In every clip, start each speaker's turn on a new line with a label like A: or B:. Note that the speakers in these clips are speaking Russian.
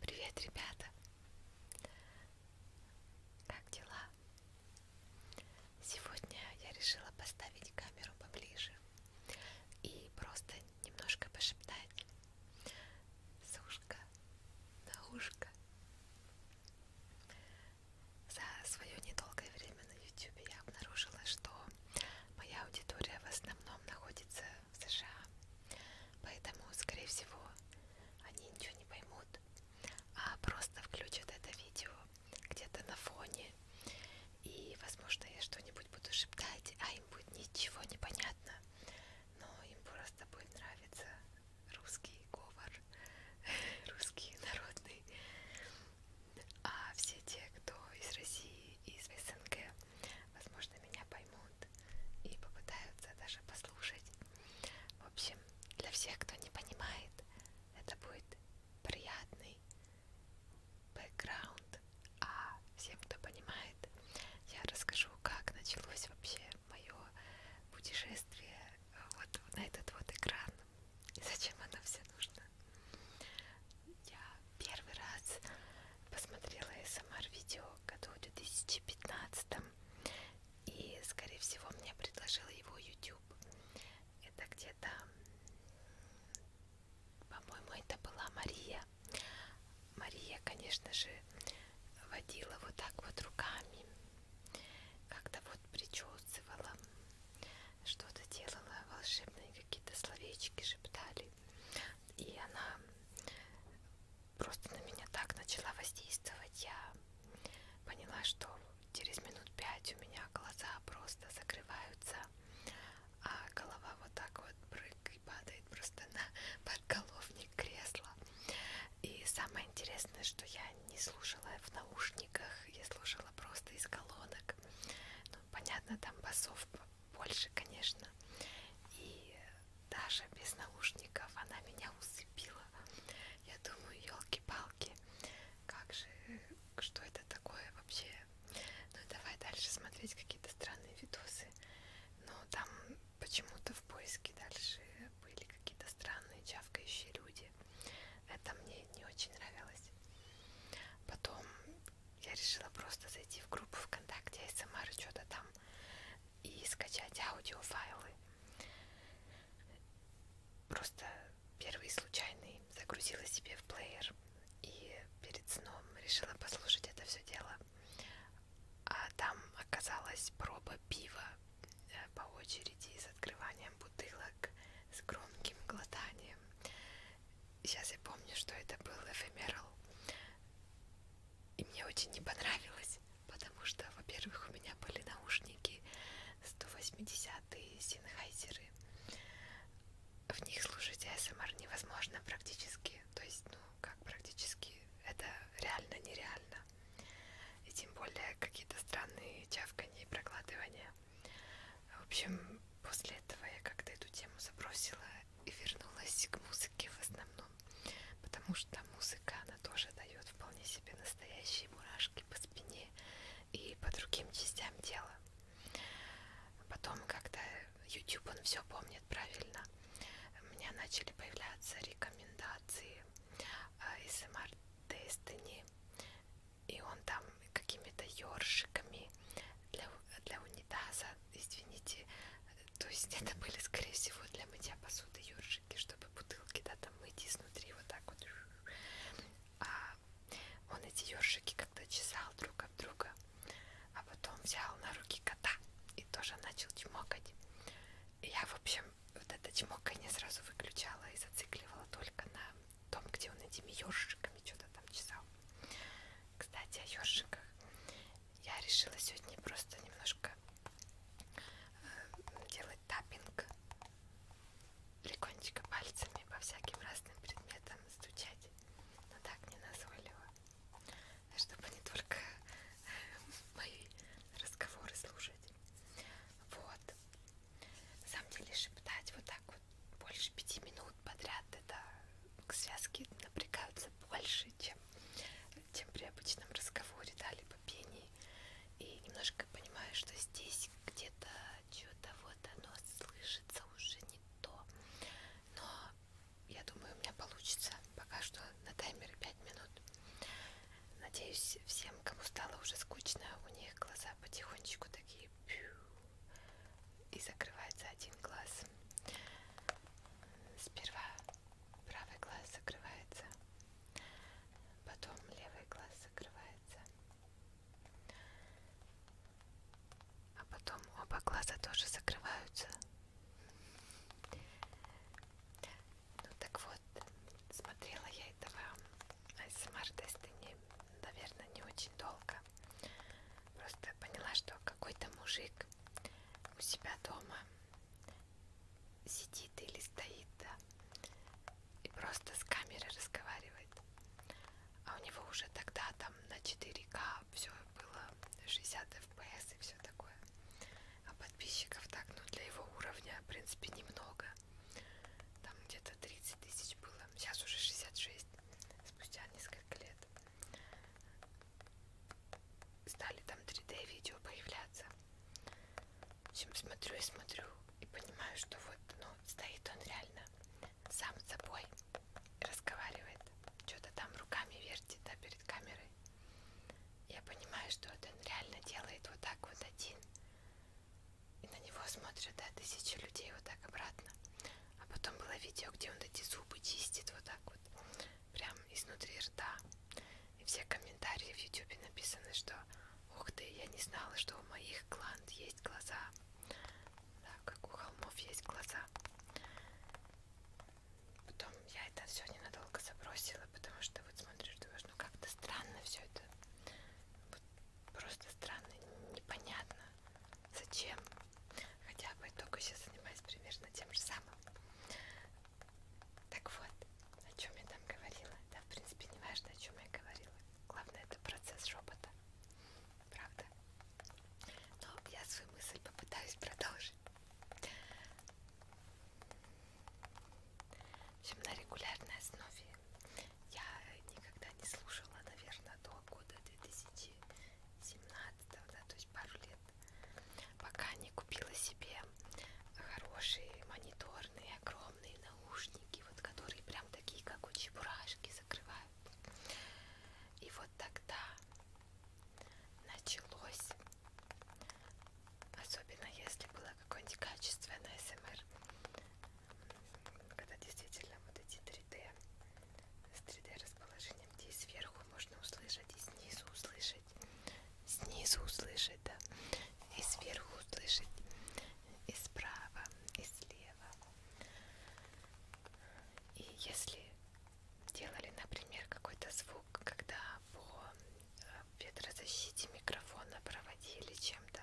A: Привет, ребята! Как дела? Сегодня я решила поставить камеру поближе и просто немножко пошептать с ушка на ушко за свое недолгое время время на YouTube я обнаружила, что моя аудитория в основном находится в США, поэтому, скорее всего, они ничего не поймут, а просто включат это видео где-то на фоне, и, возможно, я что-нибудь буду шептать, а им будет ничего не понятно, но им просто будет нравиться русский говор, русский народный. А все те, кто из России и из СНГ, возможно, меня поймут и попытаются даже послушать. В общем, для всех, кто не понимает, это будет приятный бэкграунд. А всем, кто понимает, я расскажу, как началось вообще мое путешествие вот на этот вот экран и зачем оно все нужно. Я первый раз посмотрела СМР-видео году в 2015 и, скорее всего, мне предложил его YouTube. Это где-то, по-моему, это была Мария. Мария, конечно же, водила вот так вот руками, как-то вот причесывала что-то делала, волшебные какие-то словечки шептали. И она просто на меня так начала воздействовать. Я поняла, что через минут пять у меня глаза просто закрываются, а голова вот так вот брык и падает просто на подголовник кресла. И самое интересное, что я не слушала в наушниках, я слушала просто из колонок сложно. Ну, понятно, там басов больше, конечно. И даже без наушников она меня усыпила. Я думаю, елки-палки, как же, что это такое вообще? Ну давай дальше смотреть какие-то странные видосы. Но там почему-то в поиске дальше были какие-то странные чавкающие люди. Это мне не очень нравилось. Потом я решила просто зайти в группу ВКонтакте, СМР, что-то там, и скачать аудиофайлы. Просто первый случайный загрузила себе в плеер и перед сном решила послушать это все дело. А там оказалась проба пива э, по очереди с открыванием бутылок, с громким глотанием сейчас я помню, что это был эфемерал, и мне очень не понравилось, потому что, во-первых, у меня были наушники 180-е синхайзеры, в них слушать ASMR эм невозможно практически, то есть, ну, как практически, это реально нереально, и тем более какие-то странные чавканье и проглатывания. В общем, после этого я как-то эту тему забросила и вернулась к музыке в основном, потому что музыка, она тоже дает вполне себе настоящие мурашки по спине и по другим частям тела. Потом, когда YouTube, он все помнит правильно, у меня начали появляться рекомендации ASMR а, Destiny и он там какими-то ёршиками для, для унитаза, извините, то есть это были, скорее всего, для мытья посуды ёршики, чтобы бутылки, да, там мыть изнутри вот так вот. А он эти ёршики как-то чесал друг от друга, а потом взял на руки кота и тоже начал чмокать. И я, в общем, вот это чмоканье сразу выключала и зацикливала только на том, где он этими ёршиками что-то там чесал. Кстати, о ёршиках. Я решила сегодня просто немножко э, делать таппинг легонечко пальцами по всяким разным предметам стучать, но так не назойливо, чтобы не только э, мои разговоры слушать. Вот. На самом деле шептать вот так вот больше пяти минут подряд, это связки напрягаются больше, чем, чем при обычном разговоре, да, либо пении. И немножко понимаю, что здесь где-то что-то вот оно слышится уже не то. Но я думаю, у меня получится пока что на таймере 5 минут. Надеюсь, всем, кому стало уже скучно, у них глаза потихонечку такие пью, и закрывается один глаз. Сперва правый глаз закрывается, потом левый глаз закрывается, а потом оба глаза тоже закрываются. Ну так вот, смотрела я этого АСМР-тесты, не, наверное, не очень долго. Просто поняла, что какой-то мужик у себя дома сидит или стоит, да, и просто с камерой разговаривает. А у него уже тогда там на 4К все было 60 FPS и все такое. А подписчиков так, ну для его уровня, в принципе, немного. Там где-то 30 тысяч было. Сейчас уже 66, спустя несколько лет. Стали там 3D-видео появляться. В общем, смотрю и смотрю и понимаю, что вот, ну, стоит он реально сам с собой, разговаривает, что-то там руками вертит, да, перед камерой. Я понимаю, что вот он реально делает вот так вот один. И на него смотрят, да, тысячи людей вот так обратно. А потом было видео, где он эти зубы чистит вот так вот, прям изнутри рта. И все комментарии в ютюбе написаны, что ух ты, я не знала, что у моих гланд есть глаза. Да, как у холмов есть глаза. Потом я это все ненадолго забросила, потому что вот смотришь, думаешь, ну как-то странно все это. Вот Просто странно, непонятно, зачем. Хотя по итогу сейчас занимаюсь примерно тем же самым. Так вот, о чем я там говорила. Да, в принципе, не важно, о чем я говорила. Главное, это процесс робота. Правда? Но я свою мысль попытаюсь продолжить. В общем, на регулярной основе я никогда не слушала, наверное, до года 2017, да, то есть пару лет, пока не купила себе хорошие мониторные, огромные наушники, вот которые прям такие, как у чебурашки, закрывают. И вот тогда началось, особенно если было какое-нибудь качественное СМР, когда действительно вот эти 3D с 3D расположением, где и сверху можно услышать, и снизу услышать, снизу услышать, да, и сверху услышать, и справа, и слева. И если делали, например, какой-то звук, когда по э, ветрозащите микрофона проводили чем-то,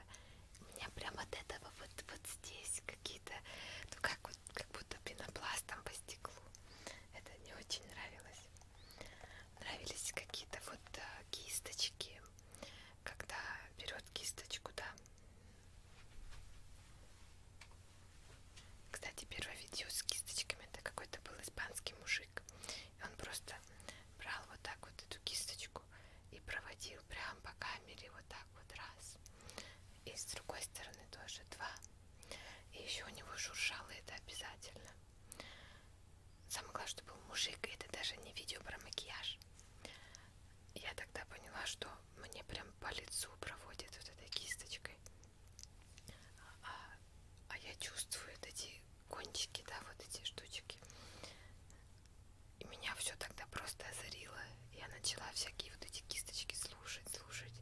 A: у меня прям от этого вот, вот здесь какие-то, ну как, вот, как будто пенопластом по стеклу. Это не очень нравилось. Нравились какие-то вот э, кисточки, когда берет кисточку, да. Кстати, первое видео с кисточками это какой-то был испанский мужик. И он просто брал вот так вот эту кисточку ножку и проводил прям по камере вот так вот раз. И с другой стороны тоже два. И еще у него шуршало это обязательно. Самое главное, что был мужик, и это даже не видео про макияж. Я тогда поняла, что мне прям по лицу проводят вот этой кисточкой. А, а я чувствую вот эти кончики, да, вот эти штучки. И меня все тогда просто озарило. Я начала всякие вот эти кисточки слушать, слушать.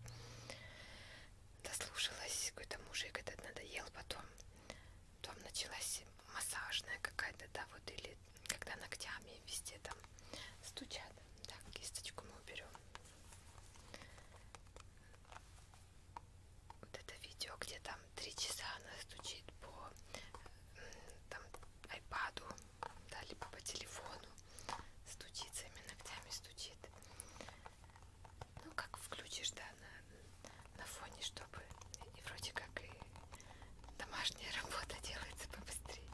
A: Дослушалась какой-то мужик этот надоел потом. Потом началась массажная какая-то, да, вот, или когда ногтями везде там стучат. Так, кисточку мы уберем. Вот это видео, где там три часа она стучит по э, там айпаду, да, либо по телефону стучит своими ногтями, стучит. Ну, как включишь, да, на, на фоне, чтобы и вроде как и домашняя работа делается побыстрее.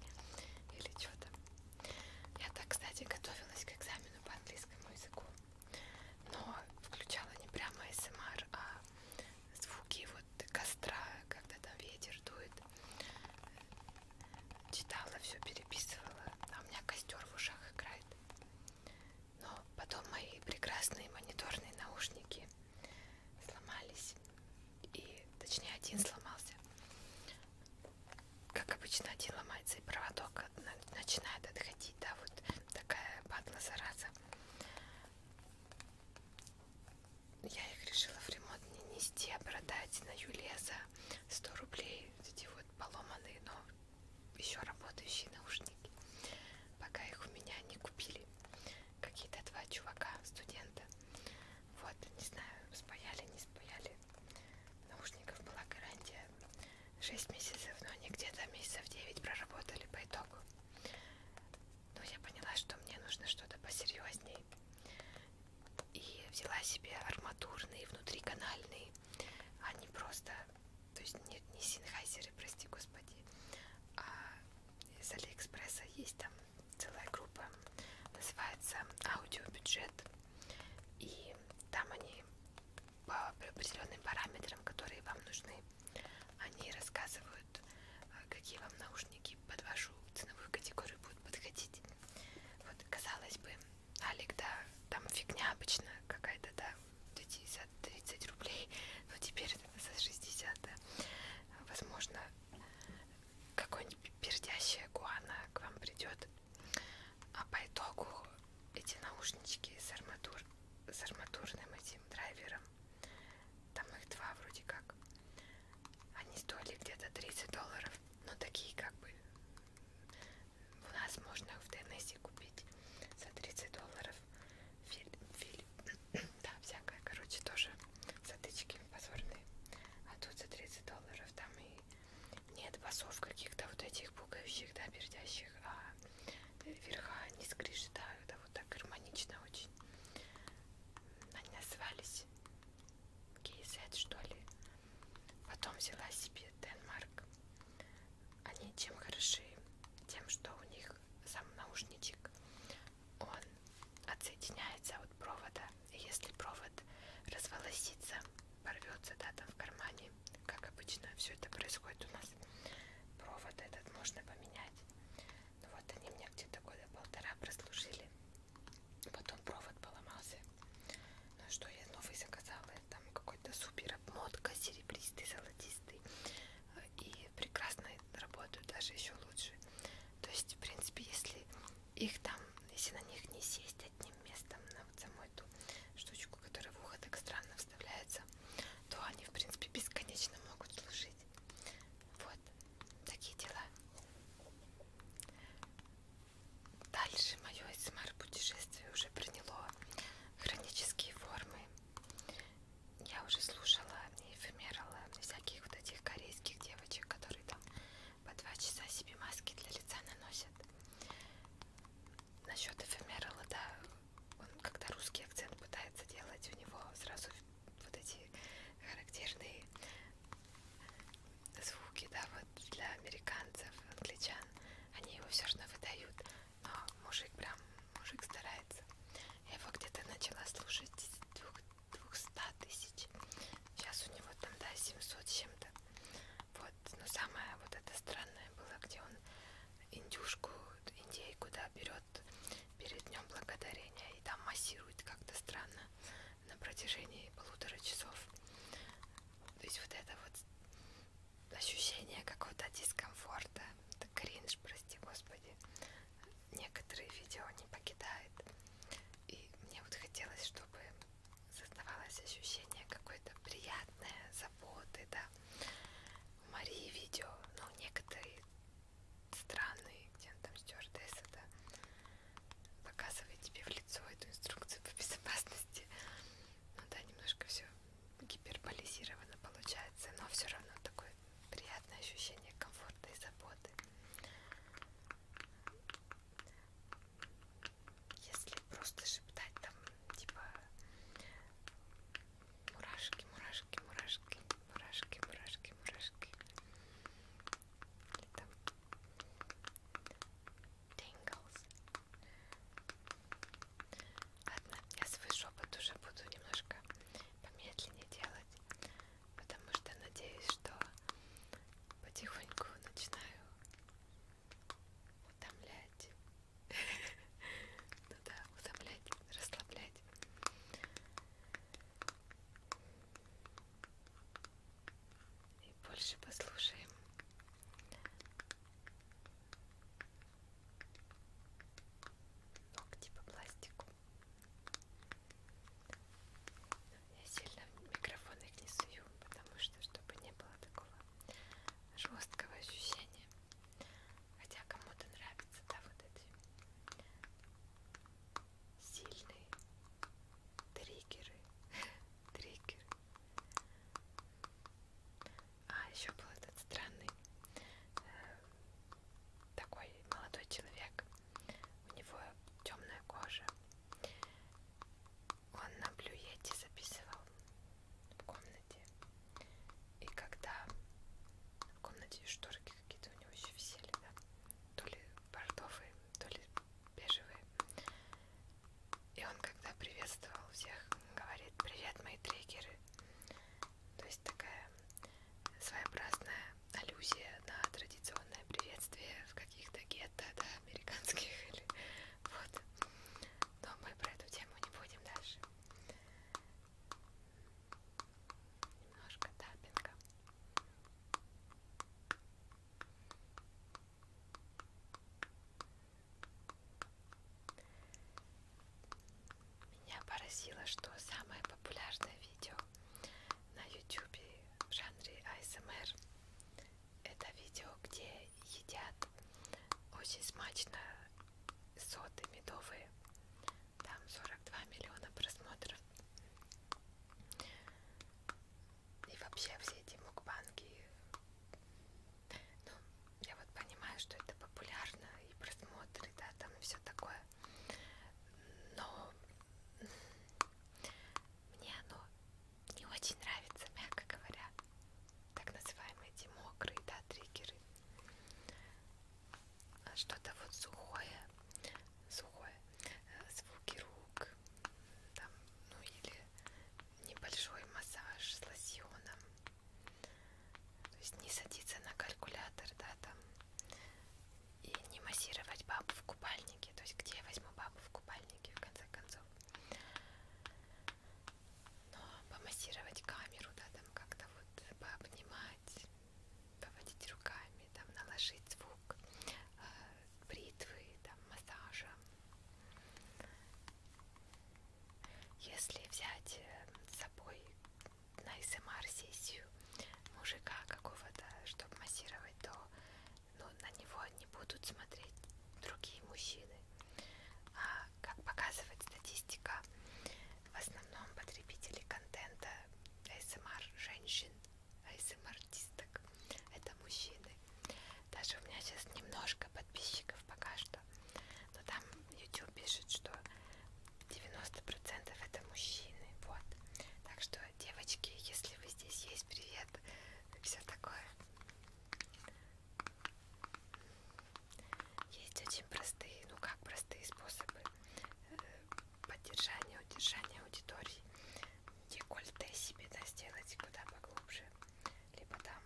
A: Или что там. Я так, кстати, готовилась к экзамену по английскому языку, но включала не прямо СМР, а звуки вот костра, когда там ветер дует. Читала, все переписывала, а у меня костер в ушах играет. Но потом мои прекрасные мониторные наушники сломались. И, точнее, один сломался. Как обычно, один ломается, и проводок начинает отходить. Да, вот такая падла зараза я их решила в ремонт не нести, а продать на Юле за 100 рублей. Вот эти вот поломанные, но еще работающие наушники. Пока их у меня не купили. Какие-то два чувака, студента. Вот, не знаю, спаяли, не спаяли. Наушников была гарантия 6 месяцев, но они где-то месяцев 9 проработали по итогу но я поняла, что мне нужно что-то посерьезней. И взяла себе арматурные, внутриканальные, а не просто, то есть нет, не синхайзеры, прости господи, а из Алиэкспресса есть там целая группа, называется аудиобюджет, и там они по определенным параметрам, которые вам нужны, они рассказывают, э, какие вам наушники под вашу ценовую категорию будут подходить. Вот, казалось бы, Алик, да, там фигня обычно какая-то, да, 30 рублей, но теперь за 60, да. Возможно, какой-нибудь пердящая гуана к вам придет. А по итогу эти наушнички с, арматур, с арматурным этим драйвером там их два вроде как. Они стоили где-то 30 долларов. Но такие как бы... У нас можно их в Теннессе купить за 30 долларов. Фильм, фильм. да, всякое, короче, тоже затычки позорные. А тут за 30 долларов там и нет басов каких-то вот этих пугающих, да, пердящих, а верха не скрежетают, а вот так гармонично очень. Они назывались KZ, что ли. Потом взяла себе Денмарк. Они чем хороши? Тем, что у них сам наушничек, он отсоединяется от провода. И если провод разволосится, порвется, да, там в кармане, как обычно все это происходит у нас, провод этот можно поменять ну вот они меня где-то года полтора прослужили. Потом провод поломался. Ну что, я новый заказала. Там какой-то супер обмотка, серебристый, золотистый. И прекрасно работают, даже еще лучше. То есть, в принципе, если их там, если на них не сесть одним местом на вот саму эту штучку, которая в ухо так странно вставляется, то они, в принципе, бесконечно могут служить. Вот такие дела. Дальше мое СМР эм путешествие уже приняло хронические формы. Я уже слушала и эфемерала всяких вот этих корейских девочек, которые там по два часа себе маски для лица наносят. Насчет эфемерала, да, он когда русский акцент пытается делать, у него сразу вот эти характерные звуки, да, вот для американцев, англичан, они его все равно выдают, но а мужик прям, мужик старается. Я его где-то начала слушать двух, 200 тысяч, сейчас у него там, да, 700 с чем-то. Вот, но самое вот это странное было, где он индюшку, индейку, да, берет перед днем благодарения и там массирует как-то странно на протяжении полутора часов. То есть вот это вот ощущение какого-то дискомфорта, это кринж, прости господи, некоторые видео не покидает. И мне вот хотелось, чтобы создавалось ощущение какое-то приятное, заботы, да. У Марии видео, но некоторые странный, где он там стюардесса, да, показывает тебе в лицо эту инструкцию по безопасности. Ну да, немножко все гиперболизировано получается, но все равно такое приятное ощущение комфорта и заботы. Если просто шептать там, типа Мурашки, мурашки, мурашки, мурашки, мурашки, мурашки. Это... Tingles. Ладно, я свой шепот уже буду немножко помедленнее делать, потому что надеюсь, что потихоньку начинаю утомлять приятно, да, утомлять, расслаблять. И больше послушаем. Ногти по пластику. Я сильно микрофон их не сую, потому что, чтобы не было такого жесткого ощущения. Хотя кому-то нравится, да, вот эти сильные триггеры. триггеры. А еще был этот странный э, такой молодой человек. У него темная кожа. Он на блюете записывал в комнате. И когда в комнате шторки какие-то у него еще висели, да? То ли бордовые, то ли бежевые. И он когда приветствовал всех, говорит, привет, мои трекеры. То есть такая своеобразная аллюзия на традиционное приветствие в каких-то гетто, да, американских или вот. Но мы про эту тему не будем дальше. Ножка тапинга. Меня поразило, что самое популярное видео на YouTube в жанре ASMR это видео, где едят очень смачно соты медовые там 42 миллиона просмотров. И вообще все эти мукбанки. Ну, я вот понимаю, что это популярно и просмотры, да, там и все такое. Но мне оно не очень нравится, мягко говоря. Так называемые эти мокрые, да, триггеры что-то вот сухое, сухое, э, звуки рук, там, ну или небольшой массаж с лосьоном. То есть не садиться на калькулятор, да, там, и не массировать бабу в купальнике. То есть где я возьму бабу в купальнике, в конце концов но помассировать камеру, да, там как-то вот пообнимать, поводить руками, там наложить звук э, бритвы, там массажа. Если взять э, с собой на СМР сессию мужика какого-то, чтобы массировать, то ну, на него не будут смотреть другие мужчины. А, как показывает статистика, в основном потребители контента ASMR женщин, ASMR-артисток, это мужчины. Даже у меня сейчас немножко подписчиков пока что, но там YouTube пишет, что 90% это мужчины, вот. Так что, девочки, если вы здесь есть, привет, все такое. Есть очень простые, ну как простые способы э, поддержания, удержания аудитории. Декольте себе да, сделать куда поглубже. Либо там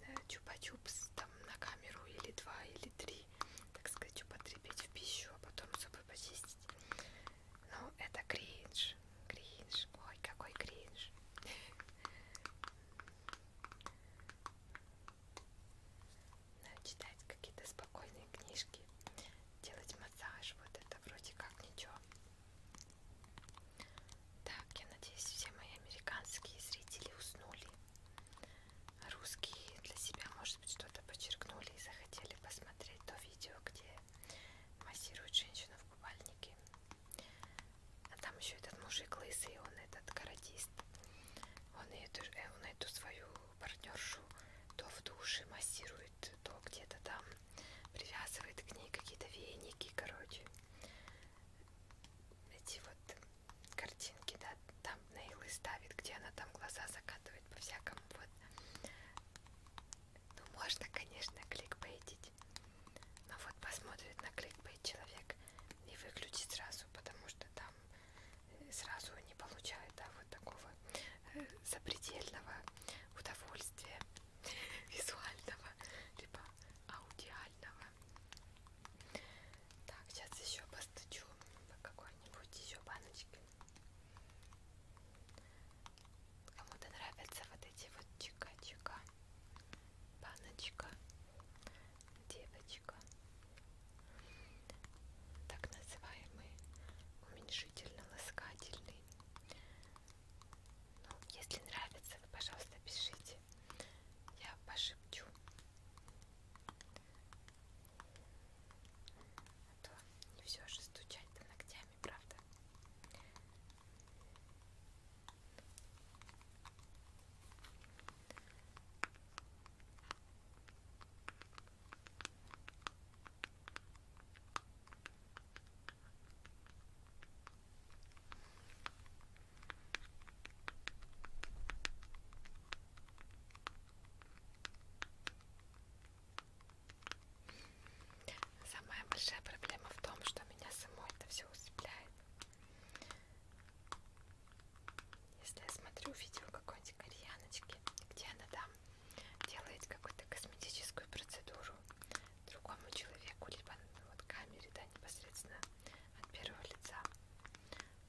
A: э, чупа-чупс там на камеру или два, или три, так сказать, употребить в пищу, а потом зубы почистить. Ну, это кринж. Кринж. Ой, какой кринж. читать какие-то спокойные книжки, делать массаж, вот это вроде как ничего. Так, я надеюсь, все мои американские зрители уснули. Русские для себя, может быть, что-то подчеркнули и захотели посмотреть то видео, где массирует женщину в купальнике. А там еще этот мужик лысый, он этот каратист он эту, э, он эту свою партнершу то в душе массирует, то где-то там привязывает к ней какие-то веники, короче. Эти вот картинки, да, там нейлы ставит, где она там глаза закатывает по-всякому, вот. Ну, можно, конечно, кликбейтить, но вот посмотрит на кликбейт человек и выключит сразу, потому что там сразу не получает да, вот такого э, запредельного удовольствия визуального либо аудиального. Так, сейчас еще постучу по какой-нибудь еще баночке. Кому-то нравятся вот эти вот чика-чика баночка девочка. Так называемый уменьшительно-ласкательный. Ну, если нравится, вы, пожалуйста, пишите. Я пошепчу. А то не все же стучать-то ногтями, правда? Самая большая проблема в том, что меня самой это все усыпляет. Если я смотрю видео какой-нибудь кореяночки, где она там делает какую-то косметическую процедуру другому человеку, либо вот камере, да, непосредственно от первого лица,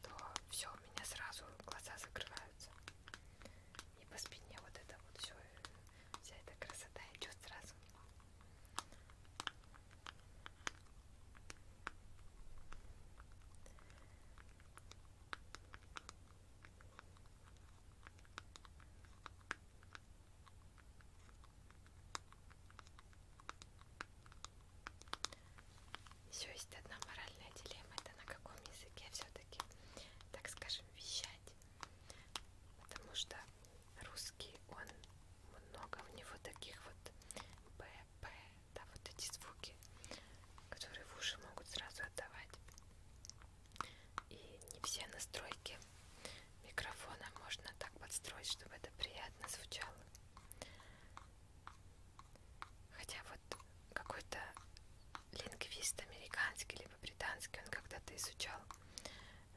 A: то все, у меня сразу глаза закрываются. И по спине вот это вот все, э, вся эта красота идет сразу. Еще есть одна моральная дилемма, это на каком языке все-таки, так скажем, вещать. Потому что русский, он много у него таких вот Б, п, да, вот эти звуки, которые в уши могут сразу отдавать. И не все настройки микрофона можно так подстроить, чтобы это приятно звучало. Хотя вот какой-то лингвист американский либо британский, он когда-то изучал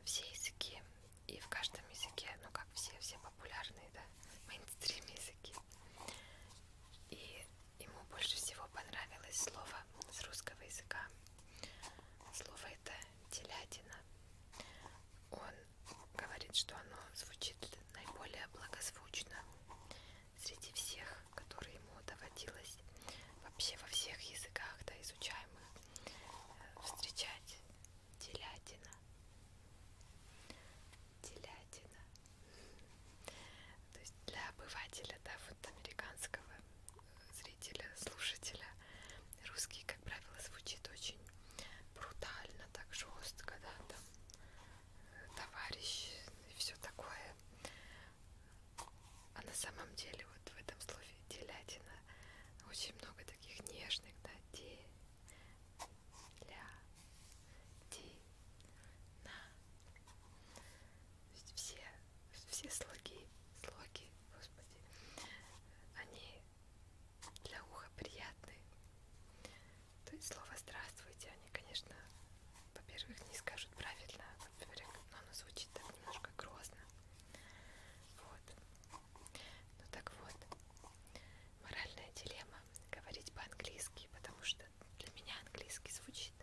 A: все языки и в каждом языке, ну как все, все популярные, да, мейнстрим языки. И ему больше всего понравилось слово с русского языка. Слово это телятина. Он говорит, что оно звучит наиболее благозвучно среди всех, которые ему доводилось вообще во всех языках, да, изучаемых, э, встречать телятина телятина то есть для обывателя да вот американского э, зрителя слушателя русский как правило звучит очень брутально так жестко да там э, товарищ и все такое а на самом деле вот в этом слове телятина очень много таких нежных да те ля-ти-на. То есть все, все слоги, слоги, господи, они для уха приятны. То есть слово «здравствуйте» они, конечно, во-первых, не скажут правильно, во-первых, но оно звучит так немножко грозно. Вот. Ну так вот, моральная дилемма говорить по-английски, потому что для меня английский звучит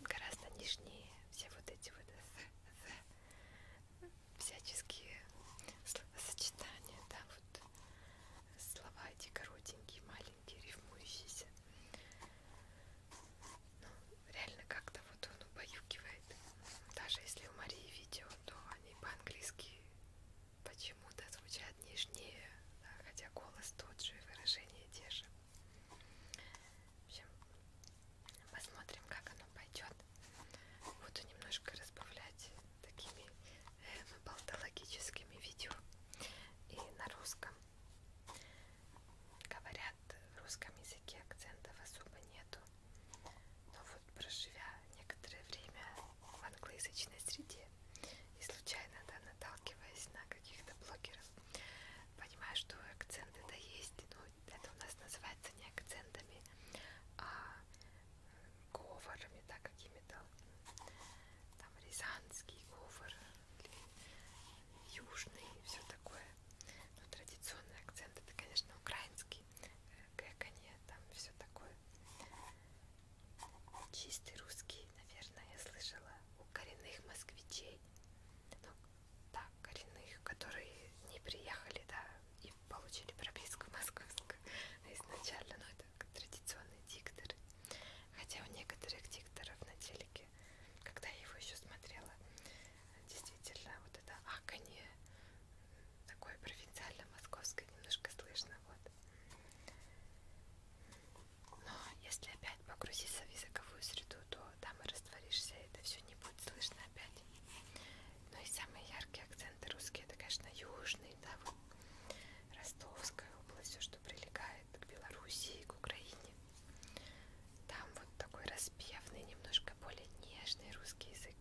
A: гораздо нежнее все вот эти вот the, the, всяческие сочетания, да, вот слова эти коротенькие, маленькие, рифмующиеся. Ну, реально как-то вот он убаюкивает. Даже если у Марии видео, то они по-английски почему-то звучат нежнее, да, хотя голос тот же, выражения те же. В общем, посмотрим, как оно пойдет. Буду немножко разбавлять такими эм, болтологическими видео и на русском. Говорят, в русском языке акцентов особо нету. Но вот проживя некоторое время в англоязычной среде и случайно да, наталкиваясь на каких-то блогеров, понимаю, что акценты да есть, но это у нас называется не акцентами, а э, говорами, да, какими-то там рязанский говор, южный, все такое. Но традиционный акцент это, конечно, украинский, э, гэканье, там все такое. Чистый русский, наверное, я слышала у коренных москвичей. Ну, да, коренных, которые не приехали, да, и получили прописку московскую а изначально, но ну, это традиционный диктор. Хотя у некоторых дикторов на телеке, когда я его еще смотрела, действительно вот это аканье Такое провинциально-московское немножко слышно. Вот. Но если опять погрузиться в языковую среду, то там и растворишься, и это все не будет слышно опять. Ну и самые яркие акценты русские, это, конечно, южный, да, вот Ростовская область, все, что прилегает к Белоруссии, к Украине. Там вот такой распевный, немножко более нежный русский язык.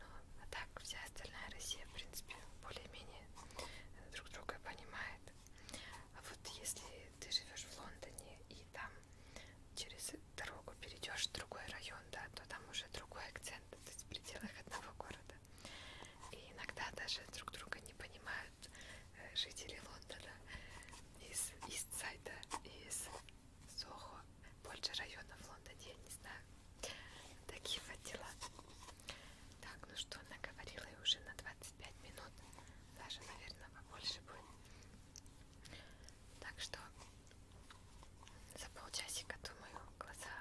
A: Ну, а так вся остальная Россия, в принципе, более-менее друг друга понимает. А вот если ты живешь в Лондоне и там через дорогу перейдешь в другой район, да, то там уже другой акцент, то есть в пределах одного города. И иногда даже друг друга не понимают э, жители Лондона из Истсайда и из Сохо больше районов в Лондоне, я не знаю. Такие вот дела. Так, ну что, наговорила я уже на 25 минут. Даже, наверное, побольше будет. Так что за полчасика, думаю, глаза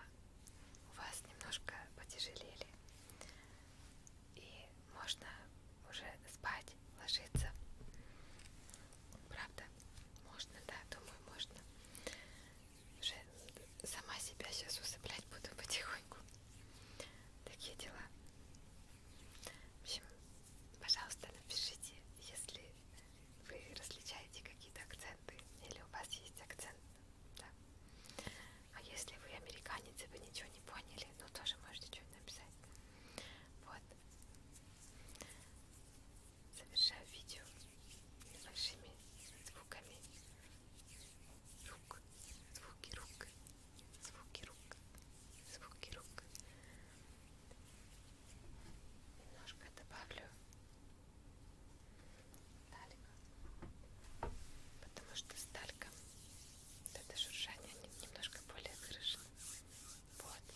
A: у вас немножко потяжелели. И можно уже спать, ложиться. Правда? Можно, да, думаю, можно. Уже сама себя сейчас усыплять буду потихоньку. Такие дела. В общем, пожалуйста, напишите, если вы различаете какие-то акценты, или у вас есть акцент, да. А если вы американец и вы ничего не поняли, ну тоже можете что-нибудь написать. Вот завершаю видео небольшими звуками рук, звуки рук, звуки рук, звуки рук. Немножко добавлю сталька, потому что сталька, вот это шуршание немножко более выражено. Вот,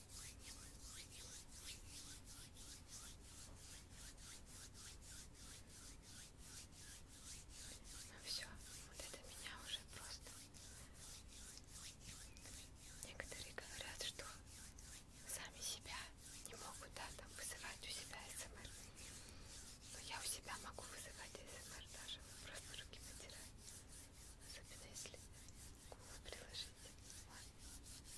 A: Ну все, вот это меня уже просто. Некоторые говорят, что сами себя не могут да, там вызывать у себя СМР. Но я у себя могу вызывать СМР даже. Просто руки потираю. Особенно если приложить. Так, на сегодня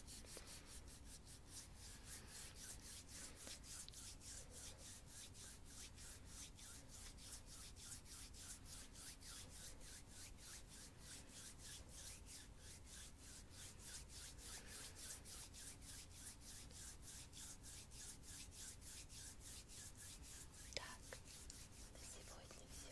A: все.